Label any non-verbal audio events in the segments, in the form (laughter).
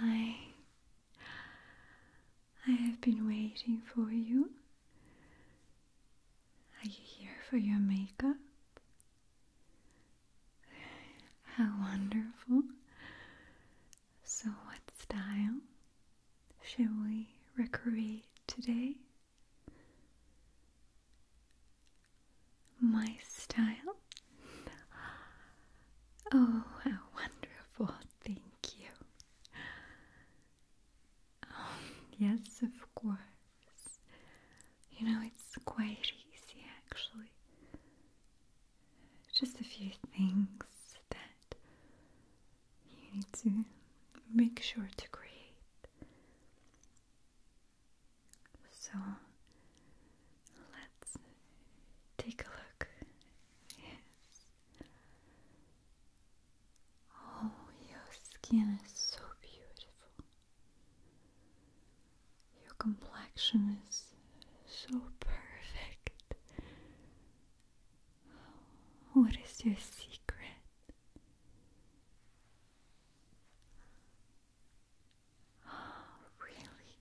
Hi, I have been waiting for you. Are you here for your makeup? How wonderful. So, what style shall we recreate today? My style? Oh, how wonderful, thank you. Um, yes, of course. You know, it's quite easy actually. Just a few things that you need to make sure to create. So let's take a look. Oh, your skin is so beautiful. Your complexion is so perfect. What is your secret? Oh, (gasps) really?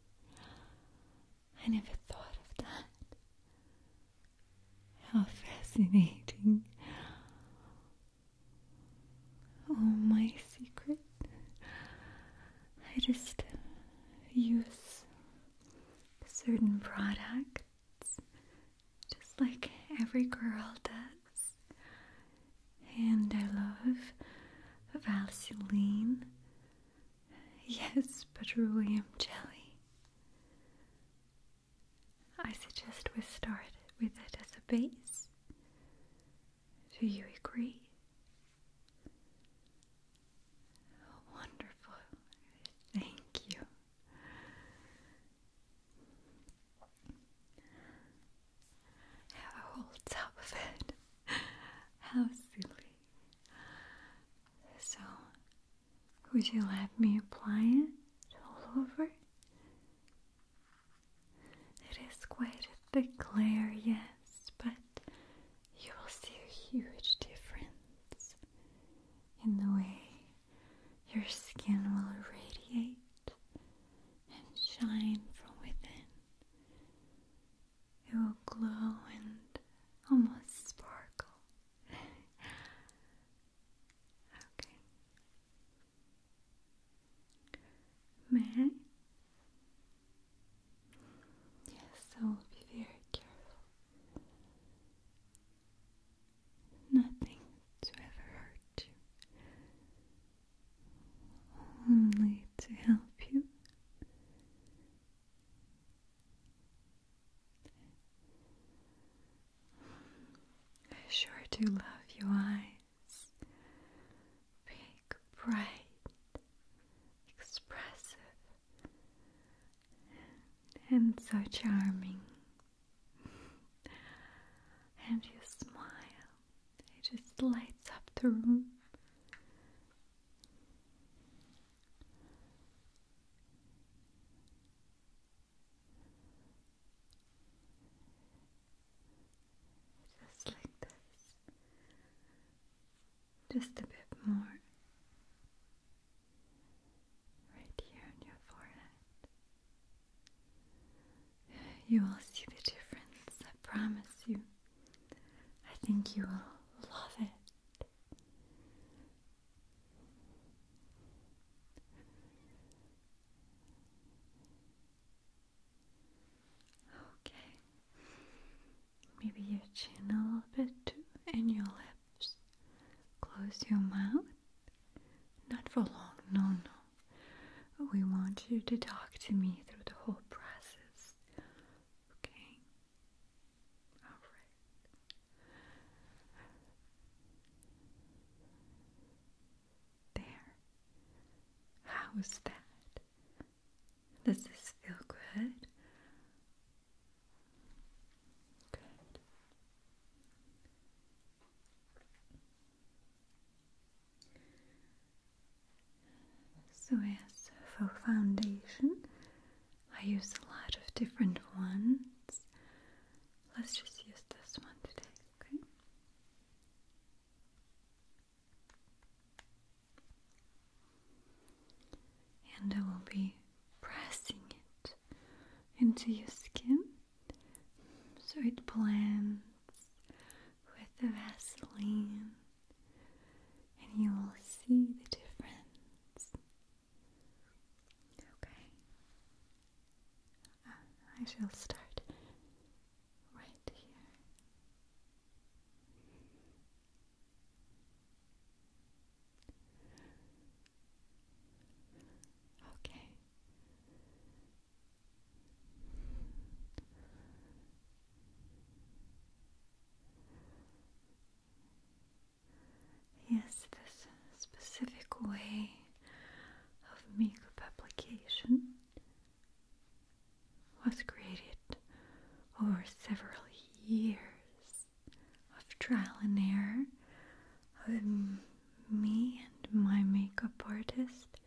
I never thought of that. How fascinating. Oh, my secret. I just use certain products just like every girl does. And I love Vaseline. Yes, petroleum jelly. I suggest we start with it as a base. Do you agree? wonderful. Thank you have a whole tub of it. How silly. So, would you let me apply it all over? It is quite a thick layer, yes, but you will see a huge difference in the way your skin will radiate and shine from within. It will glow and almost sparkle. okay. May I? Yes, I will be very careful. Nothing to ever hurt you only to help you. I sure do love your eyes. Big, bright, expressive, and so charming. And you smile it just lights up the room. Just like this. Just a bit more. Right here on your forehead. You will see the difference, I promise you. I think you will love it. Okay. Maybe your chin a little bit too, and your lips. Close your mouth. Not for long, no, no we want you to talk to me through the whole process. Okay? Alright. There. How's that? Does this feel good? Good. So as for foundation, I use a lot of different ones. Let's just use this one today, okay? And I will be pressing it into your skin so it blends with the Vaseline, and you will see the difference. Okay, uh, I shall start right here. Okay, Yes, this specific way of makeup publication was created over several years of trial and error of um, me and my makeup artist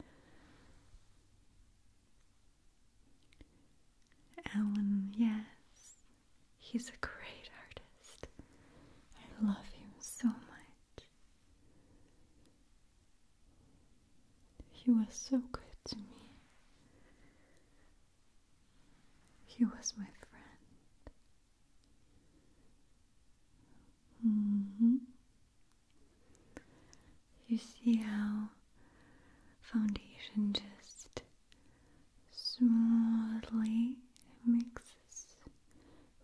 Alan, yes, he's a great artist. I love him so much. He was so good to me. He was my friend. Mm -hmm. You see how foundation just smoothly mixes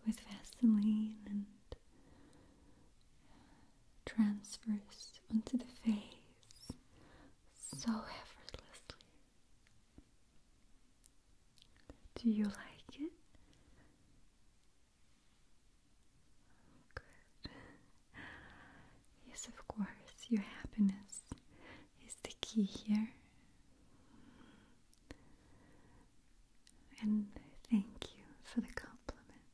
with Vaseline and transfers onto the face so effortlessly. Do you like it? Yes, of course, your happiness is the key here. And thank you for the compliment.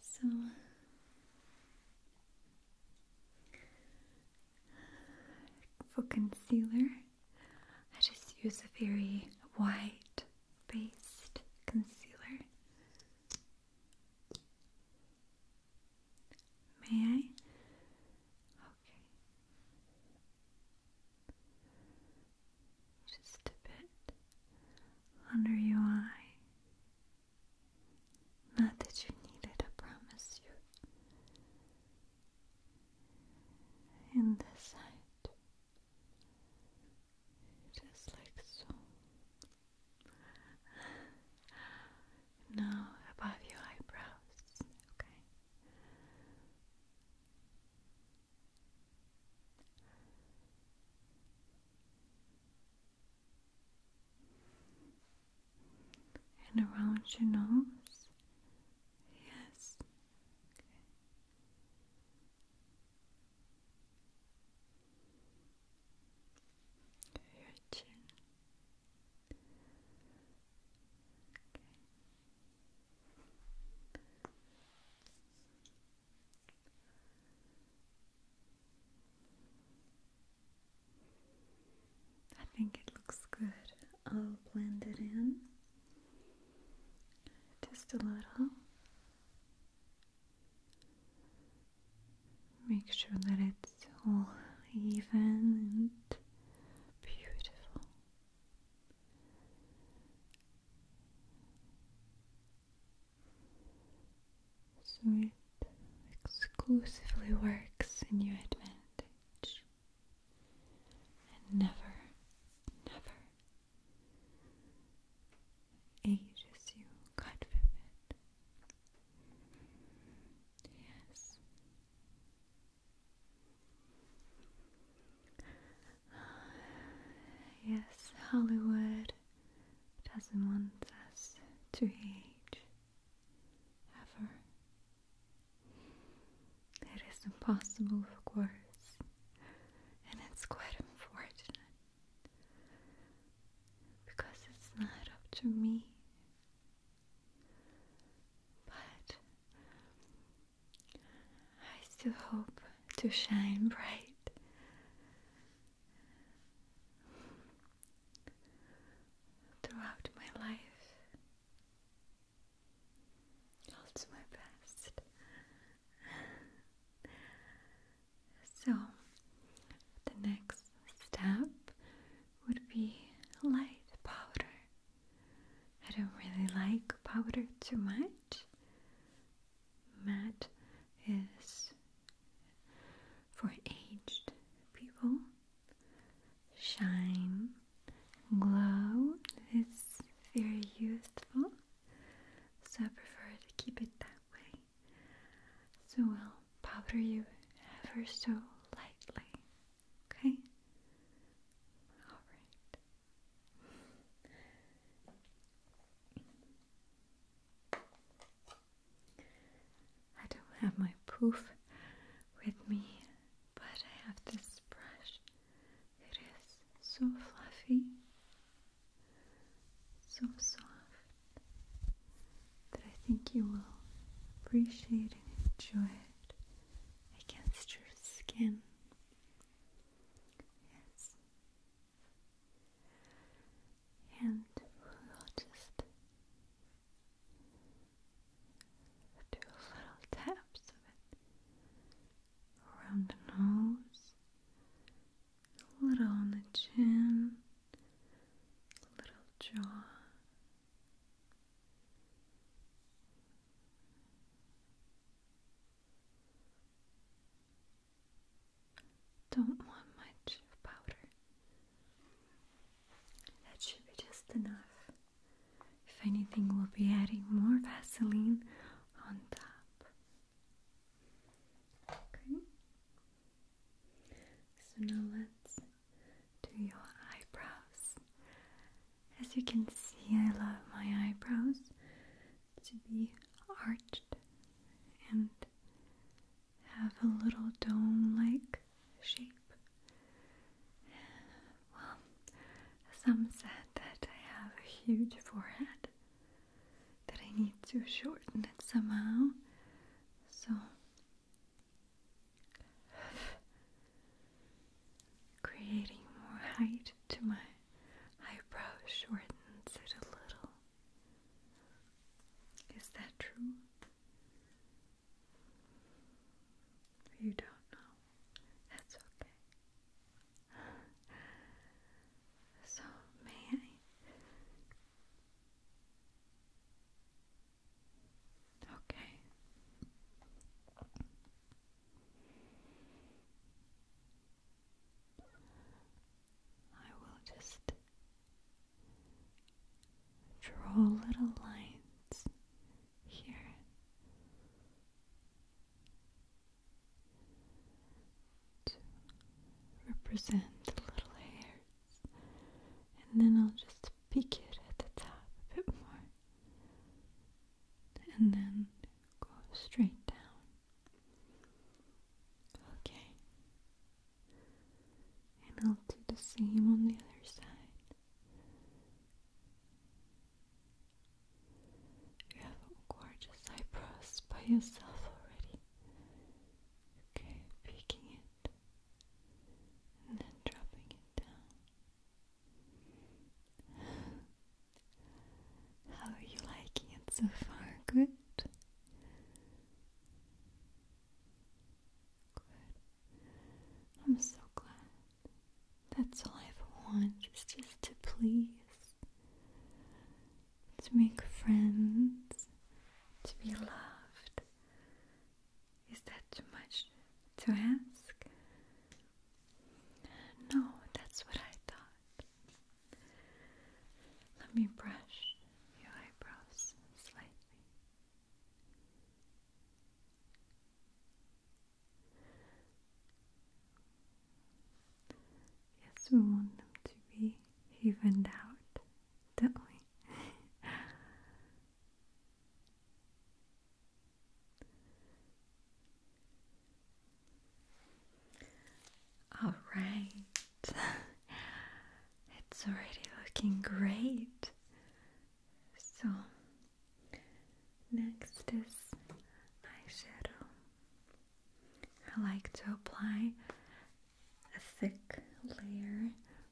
So, for concealer, I just use a very white based concealer. May I? Okay. Just a bit under your eye. Not that you need it, I promise you in this side, just like so. Now above your eyebrows, okay and around your nose. Yes. Your chin. I think it looks good. I'll blend it in just a little. Make sure that it's all even and beautiful. So it exclusively works in your advantage and never, never ages you. God forbid. Yes. (sighs) Yes, Hollywood doesn't want us to age ever. It is impossible, of course, and it's quite unfortunate because it's not up to me. But I still hope to shine bright. Throughout my life, I'll do my best. so, the next step would be light powder. I don't really like powder too much. Matte is for aged people shine, glow its very useful, so I prefer to keep it that way. So I'll powder you ever so lightly, okay? Alright. I don't have my poof with me, but I have this brush. It is so fluffy, so soft, that I think you will appreciate and enjoy it against your skin. Yes. And we'll just do little taps of it around the nose, a little on the chin, a little jaw. Don't want much powder. That should be just enough. If anything, we'll be adding more Vaseline on top. Okay. So now let's do your eyebrows. As you can see, I love my eyebrows to be arched and have a little dome like shape. Well, some said that I have a huge forehead, that I need to shorten it somehow. So, creating more height to my eyebrow shortens it a little. Is that true? You don't know. That's okay. So, may I? Okay. I will just Draw little lines here. To represent the little hairs, and then I'll just peak it at the top a bit more, and then go straight down. Okay, and I'll do the same on the other side. You have gorgeous eyebrows by yourself already. Okay, picking it and then dropping it down. How are you liking it so far? Good? Good. I'm so glad. That's all I ever want is just to please, to make friends, to be loved. Is that too much to ask? No, that's what I thought. Let me brush your eyebrows slightly. Yes, we want them to be evened out, don't we? (laughs) All right. (laughs) It's already looking great. So, next is eyeshadow. I like to apply a thick layer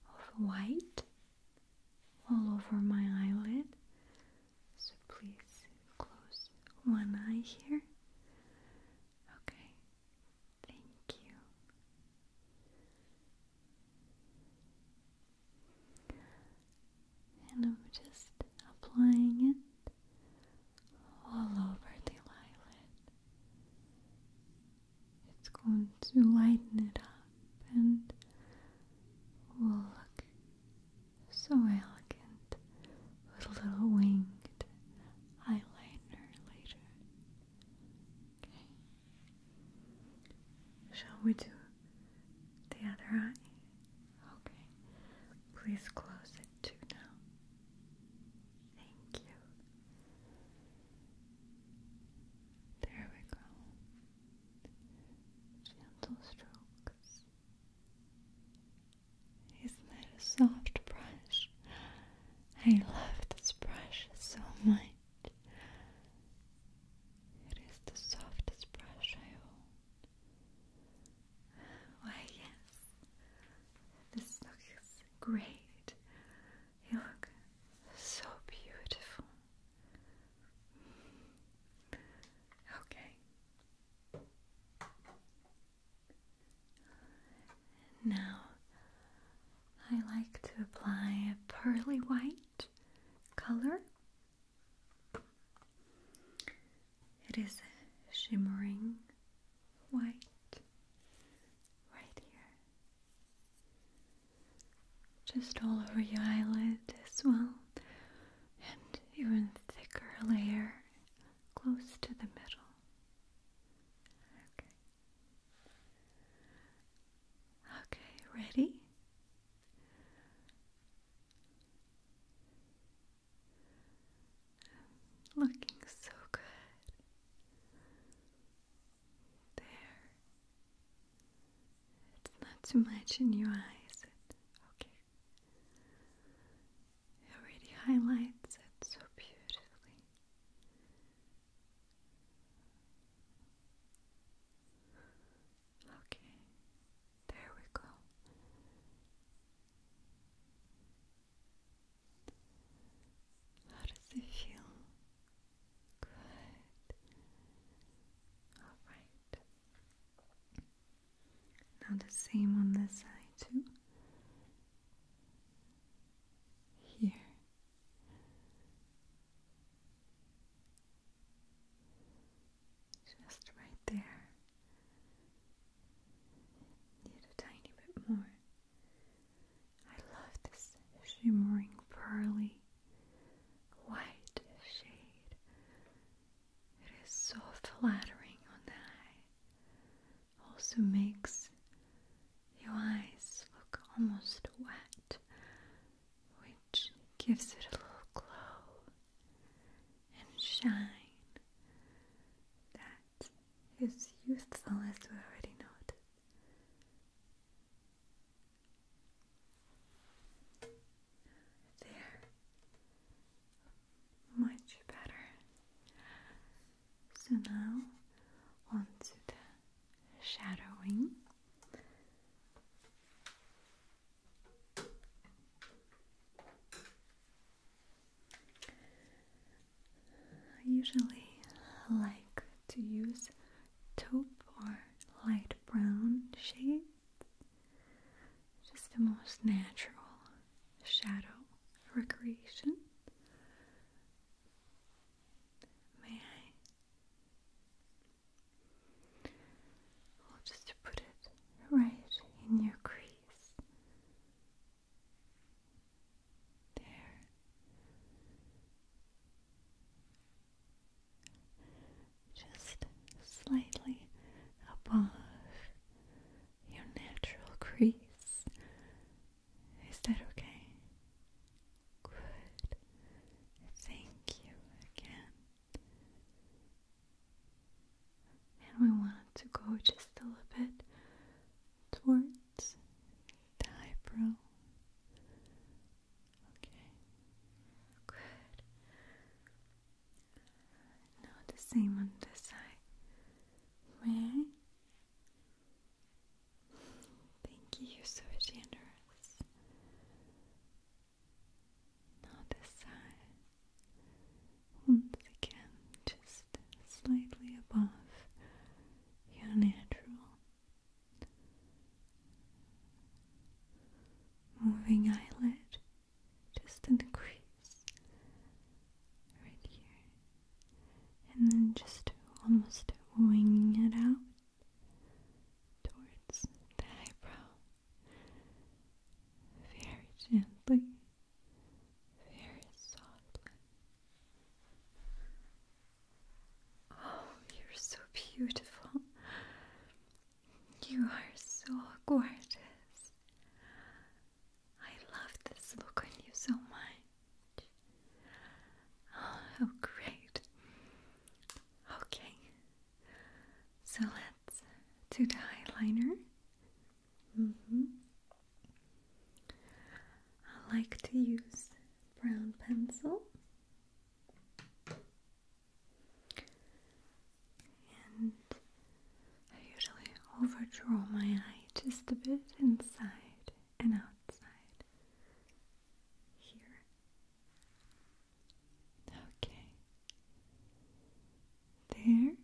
of white all over my eyelid. So, please close one eye here. Okay, thank you. And I'm just applying it all over the eyelid. It's going to lighten it up and will look so elegant with a little winged eyeliner later. Shall we do the other eye? Okay. Please close it too now. Thank you. There we go. Gentle strokes. Isn't that a soft brush? I love this brush so much. It is the softest brush I own. Why, yes, this looks great. You look so beautiful. Okay. Now I like to apply a pearly white color. It is shimmering white right here. Just all over your eyelid as well, and even thicker layer close to the middle. Okay. Okay, ready? Looking so good. There. It's not too much in your eye, Okay. It already highlights it so beautifully. Okay, there we go. How does it feel? Good. Alright. Now the same on the side, too here. Just right there. Need a tiny bit more. I love this shimmering, pearly, white shade. It is so flattering on the eye. Also makes your eyes look almost wet, which gives it a little glow and shine that is youthful as we already noted. There. Much better. So now to the shadowing. I usually like to use taupe or light brown shades, just the most natural shadow recreation. May I? I'll put it right in your crease. There. Just slightly above your natural crease. Is that okay? Good. Thank you again. And we want to go just a little bit towards the eyebrow. Okay. Good. Now the same on this side. May Thank you, so generous. Now this side, once again, just slightly above your natural. Moving eyelid, just in the crease, right here and then just almost wing it out towards the eyebrow very gently, very softly. Oh, you're so beautiful. You are so gorgeous. I love this look on you so much. Oh, great. Okay, so let's do the eyeliner. Mm-hmm. I like to use brown pencil. And I usually overdraw my eye just a bit inside and outside here. Okay. There.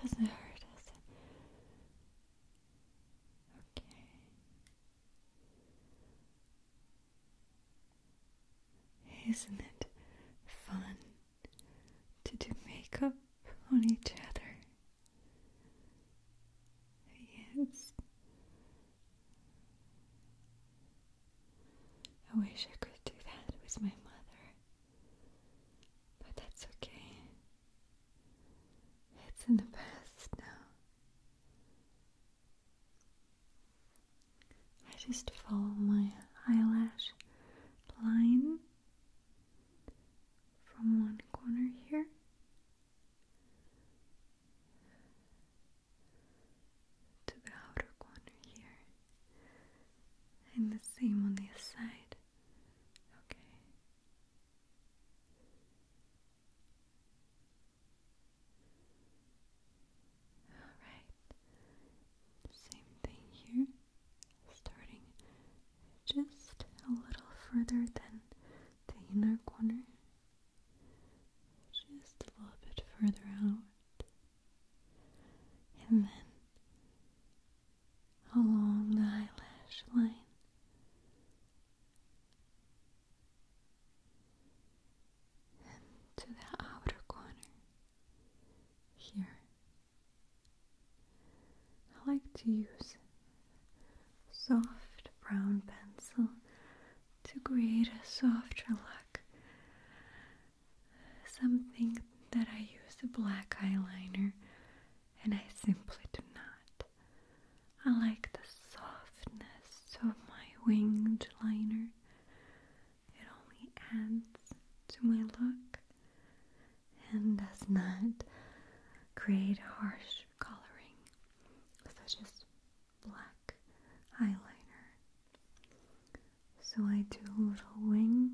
Doesn't hurt, us, Okay. Isn't it fun to do makeup on each other? Yes. I wish I could do that with my mother, but that's okay. It's in the past now. I just follow my eyelash line from one corner here to the outer corner here, and the same on the other side. Okay. Alright, same thing here, starting just a little further than the inner corner, just a little bit further out, and then along the eyelash line. to the outer corner here, I like to use soft brown pencil to create a softer look. Something that I use a black eyeliner and I simply do not. I like the softness of my winged liner. It only adds to my look and does not create harsh coloring such as black eyeliner. So I do a little wing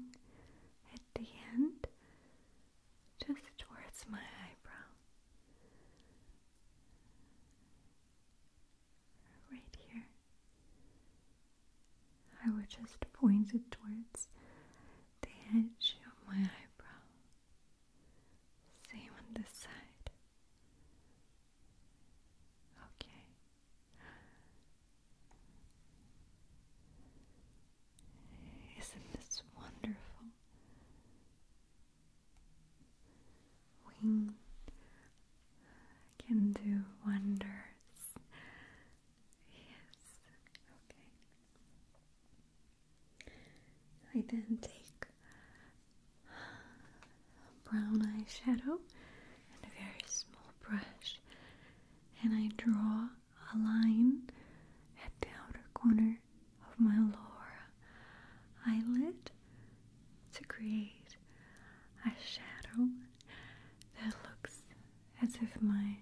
at the end just towards my eyebrow. Right here. I would just point it towards the edge of my eyebrow. Same on this side. Okay. Isn't this wonderful? Wing can do wonders. Yes. Okay. I then take a brown eyeshadow and a very small brush, and I draw a line at the outer corner of my lower eyelid to create a shadow that looks as if my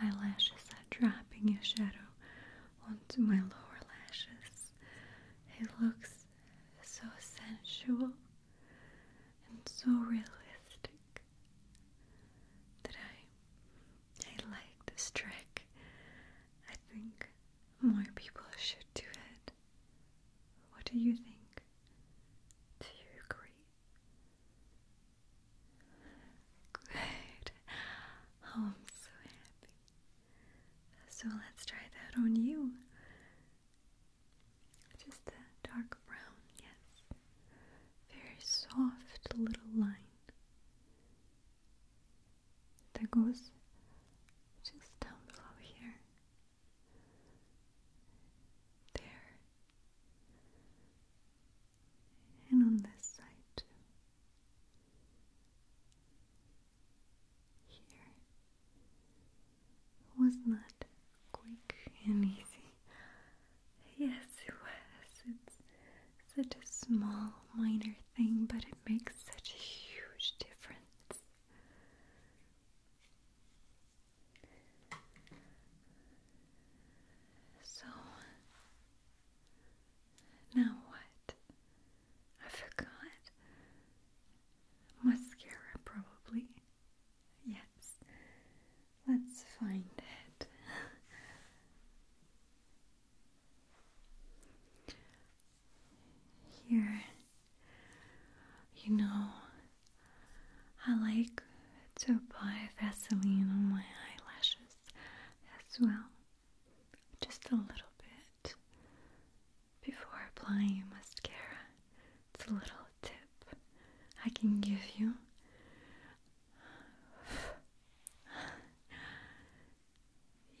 eyelashes are dropping a shadow onto my lower lashes. It looks so sensual and so realistic that I I like this trick. I think more people should do it. What do you think? Do you agree? Good. Oh, I'm so happy. So let's try that on you. Just a dark brown, yes. Very soft little line that goes just down below here. There and on this side too. Here was not quick and easy. Yes, it was. It's such a small, minor thing, but it makes such a huge difference. So, now what? I forgot. Mascara, probably. Yes. Let's find it. Here, you know, I like to apply Vaseline on my eyelashes as well. Just a little bit before applying mascara. It's a little tip I can give you.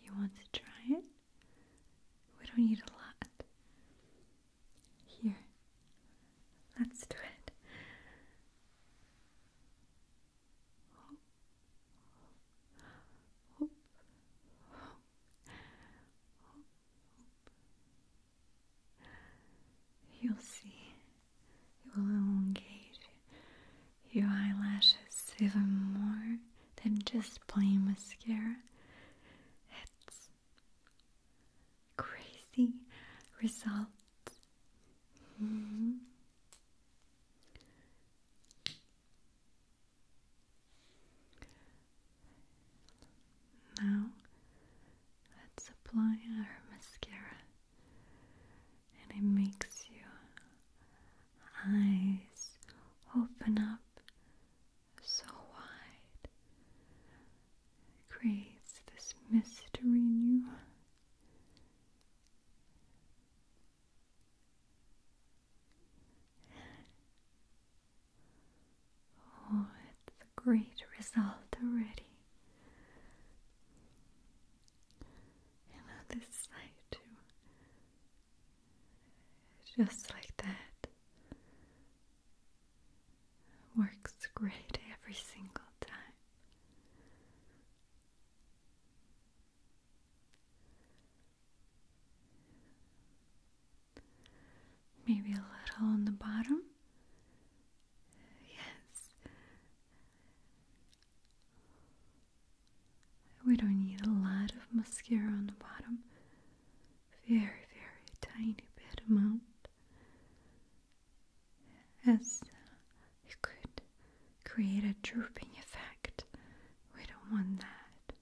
You want to try it? We don't need a lot. Here, let's do it hope, hope, hope, hope, You'll see, you will elongate your eyelashes even more than just plain mascara. It's crazy results Mm Now let's apply our mascara, and it makes your eyes open up so wide, creates this mystery in you. Oh, it's a great result already. And on this side, too. Just like that. Works great every single time. Maybe a little on the bottom. Yes. We don't need a lot of mascara on the bottom. Very, very tiny bit amount as it could create a drooping effect. We don't want that.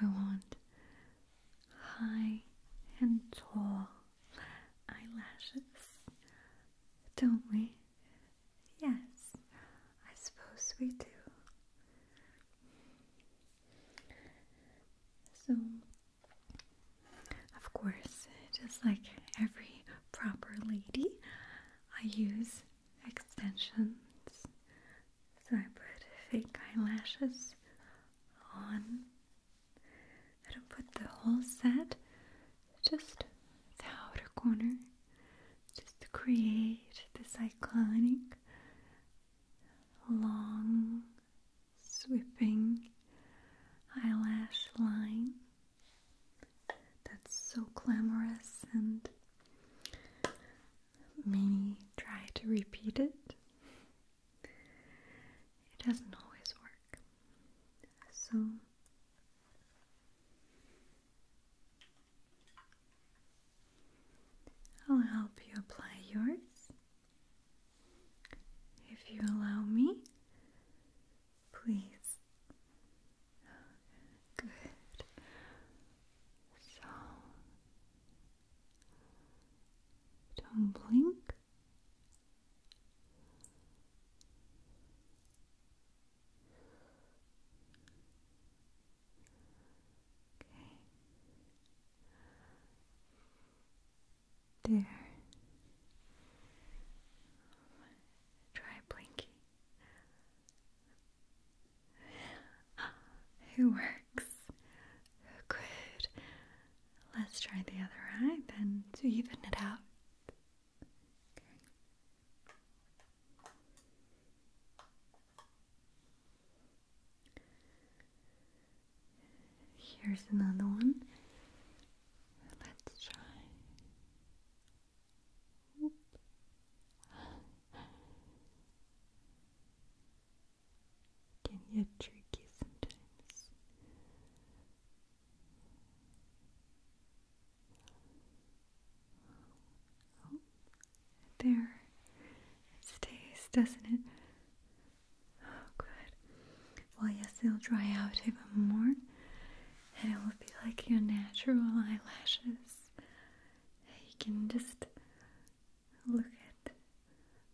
We want high and tall eyelashes, don't we? Yes, I suppose we do. So of course, just like every proper lady, I use extensions. So I put fake eyelashes on. I don't put the whole set, just the outer corner, just to create this iconic long sweeping eyelash line that's so glamorous, and many try to repeat it. It doesn't always work. So, I'll help you apply yours if you allow me. Please. Good. So don't blink. Okay. There. Try blinking. (gasps) It works. Good. Let's try the other eye then to even it out. Here's another one. Let's try. Can get tricky sometimes. Oh, there it stays, doesn't it? Oh, good. Well, yes, they'll dry out even more, and it will be like your natural eyelashes. You can just look at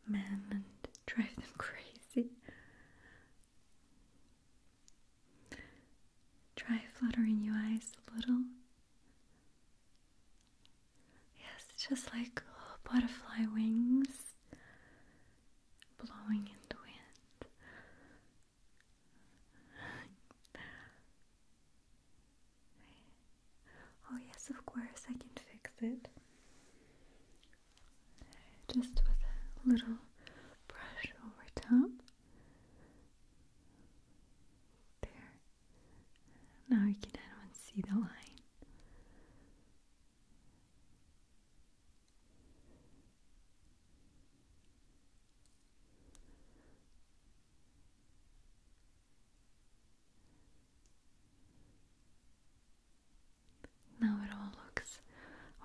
men and drive them (laughs) crazy. Try fluttering your eyes a little. Yes, just like butterfly wings blowing into it. oh, yes, of course, I can fix it. Just with a little brush over top. There. Now you can anyone see the line. Now it all looks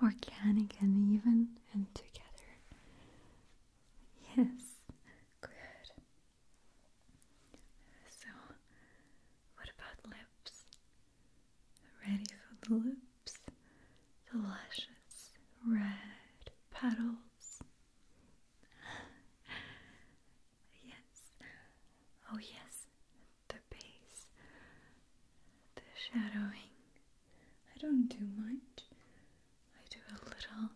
organic and even and together. Yes, good. So, what about lips? Ready for the lips, the lashes, red petals. (laughs) yes, oh yes, the base, the shadowing. I don't do much, I do a little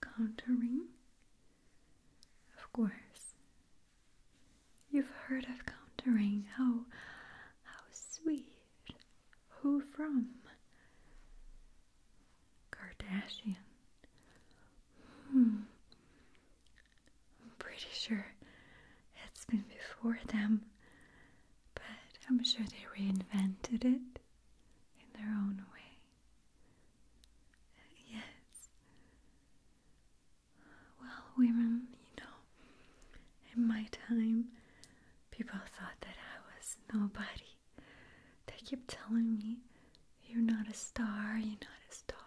contouring. Of course, You've heard of countering, how how sweet. Who from? Kardashian. Hmm. I'm pretty sure it's been before them, but I'm sure they reinvented it in their own way. Yes well, women, you know, in my time, people thought that I was nobody. They keep telling me, You're not a star, you're not a star.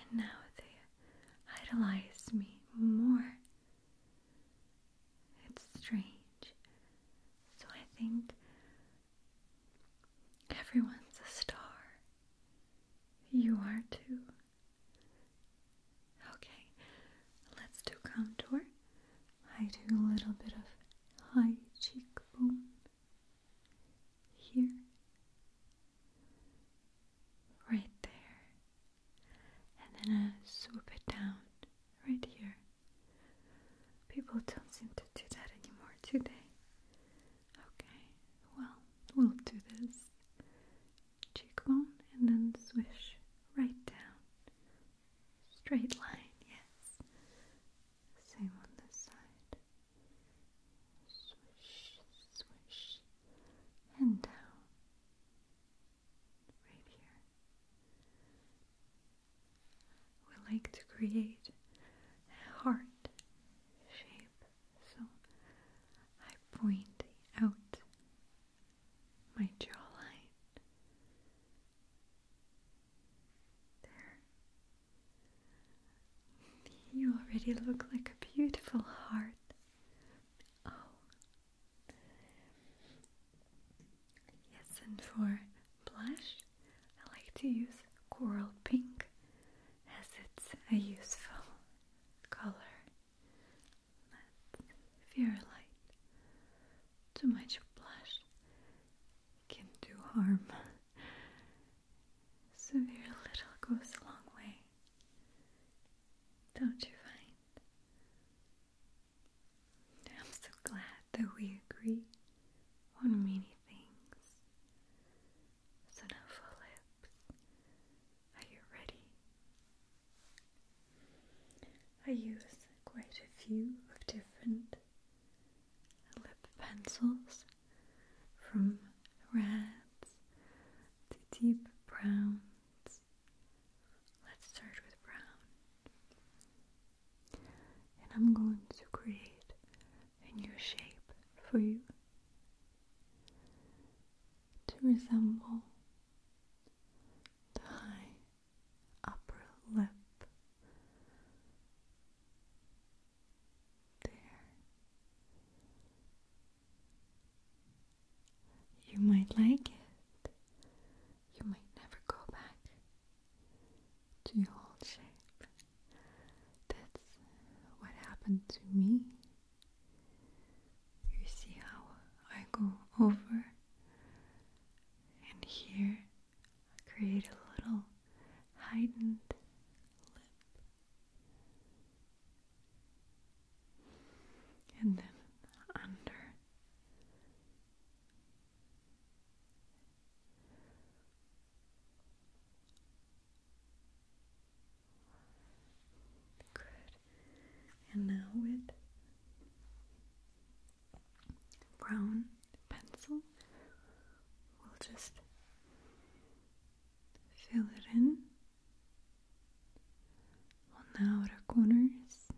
And now they idolize me more. It's strange. So I think everyone's a star. You are too. Okay, let's do contour. I do a little bit of high cheekbone here, right there, and then I swoop it down right here. People don't seem to do that anymore, do they? Okay, well, we'll do this cheekbone and then swish right down. Straight line, yes. Same on this side. Swish, swish, and down. Right here. We like to create a heart shape so I point out my jawline. There. You already look like a beautiful heart. Oh. Yes, and for blush, I like to use coral pink as it's a useful color fear, light. Too much blush can do harm. Severe (laughs) little goes a long way. Don't you find? I'm so glad that we agree on many things. So now follow are you ready? I use quite a few of different lip pencils from reds to deep browns. Let's start with brown. And I'm going to create in your shape for you to resemble the high upper lip there. You might like it. You might never go back to your old shape. That's what happened to me. You see how I go over and here I create a little heightened lip. And then under. Good. And now with brown pencil, we'll just fill it in on the outer corners.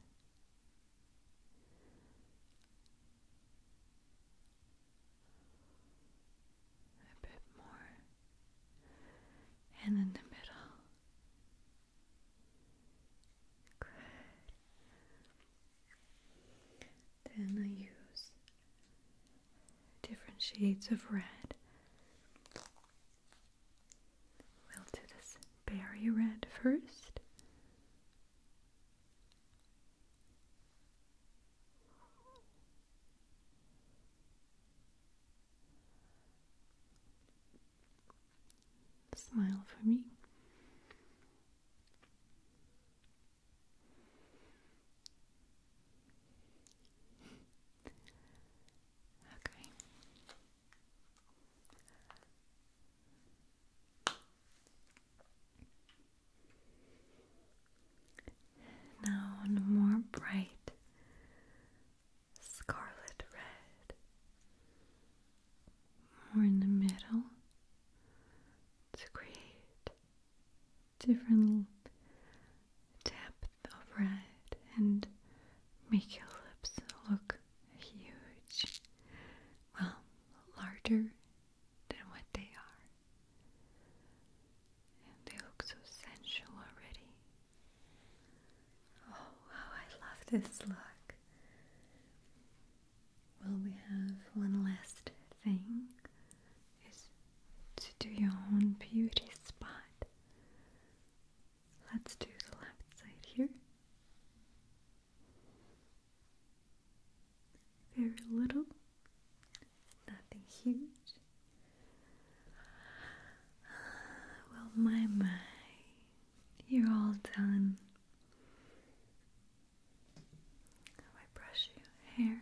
A bit more and in the middle. Good. Then I use different shades of red. We'll do this berry red first. Smile for me. okay. Now more bright scarlet red, more in the middle to create different depth of red and make your lips look huge, well, larger than what they are. And they look so sensual already. Oh, how I love this look. Well, we have one last thing is to do your own beauty spot. Let's do the left side here. Very little nothing huge. Well, my, my, you're all done. I brush your hair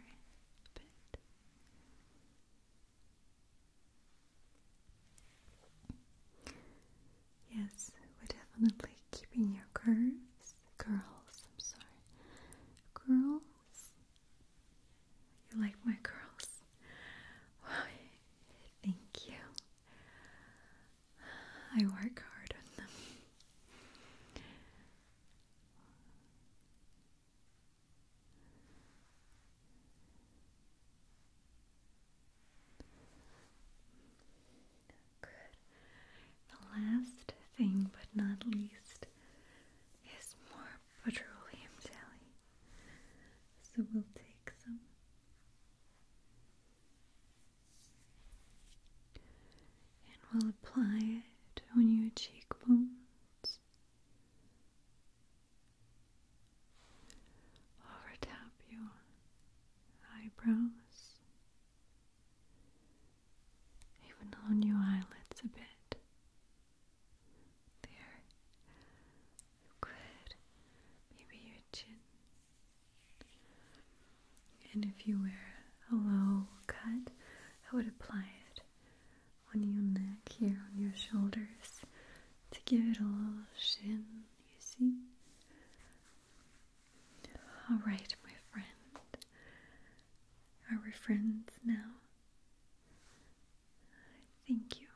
Yes, we're definitely keeping your curves, curls, I'm sorry, curls you like my curls? thank you. I work hard on them. Good. The last thing, but not least, is more petroleum jelly. So we'll take some. And we'll apply it on your cheekbones over your eyebrows even on your eyelids a bit. There. Good. Maybe your chin. And if you wear a low cut, I would apply it on your neck here, on your shoulders, to give it a little shin, you see? Alright, my friend. Are we friends now? Thank you.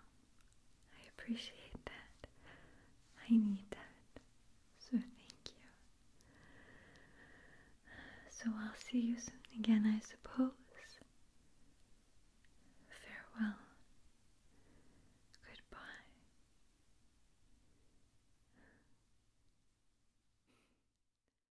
I appreciate that. I need that. So thank you. So I'll see you soon again, I suppose. Farewell. Goodbye.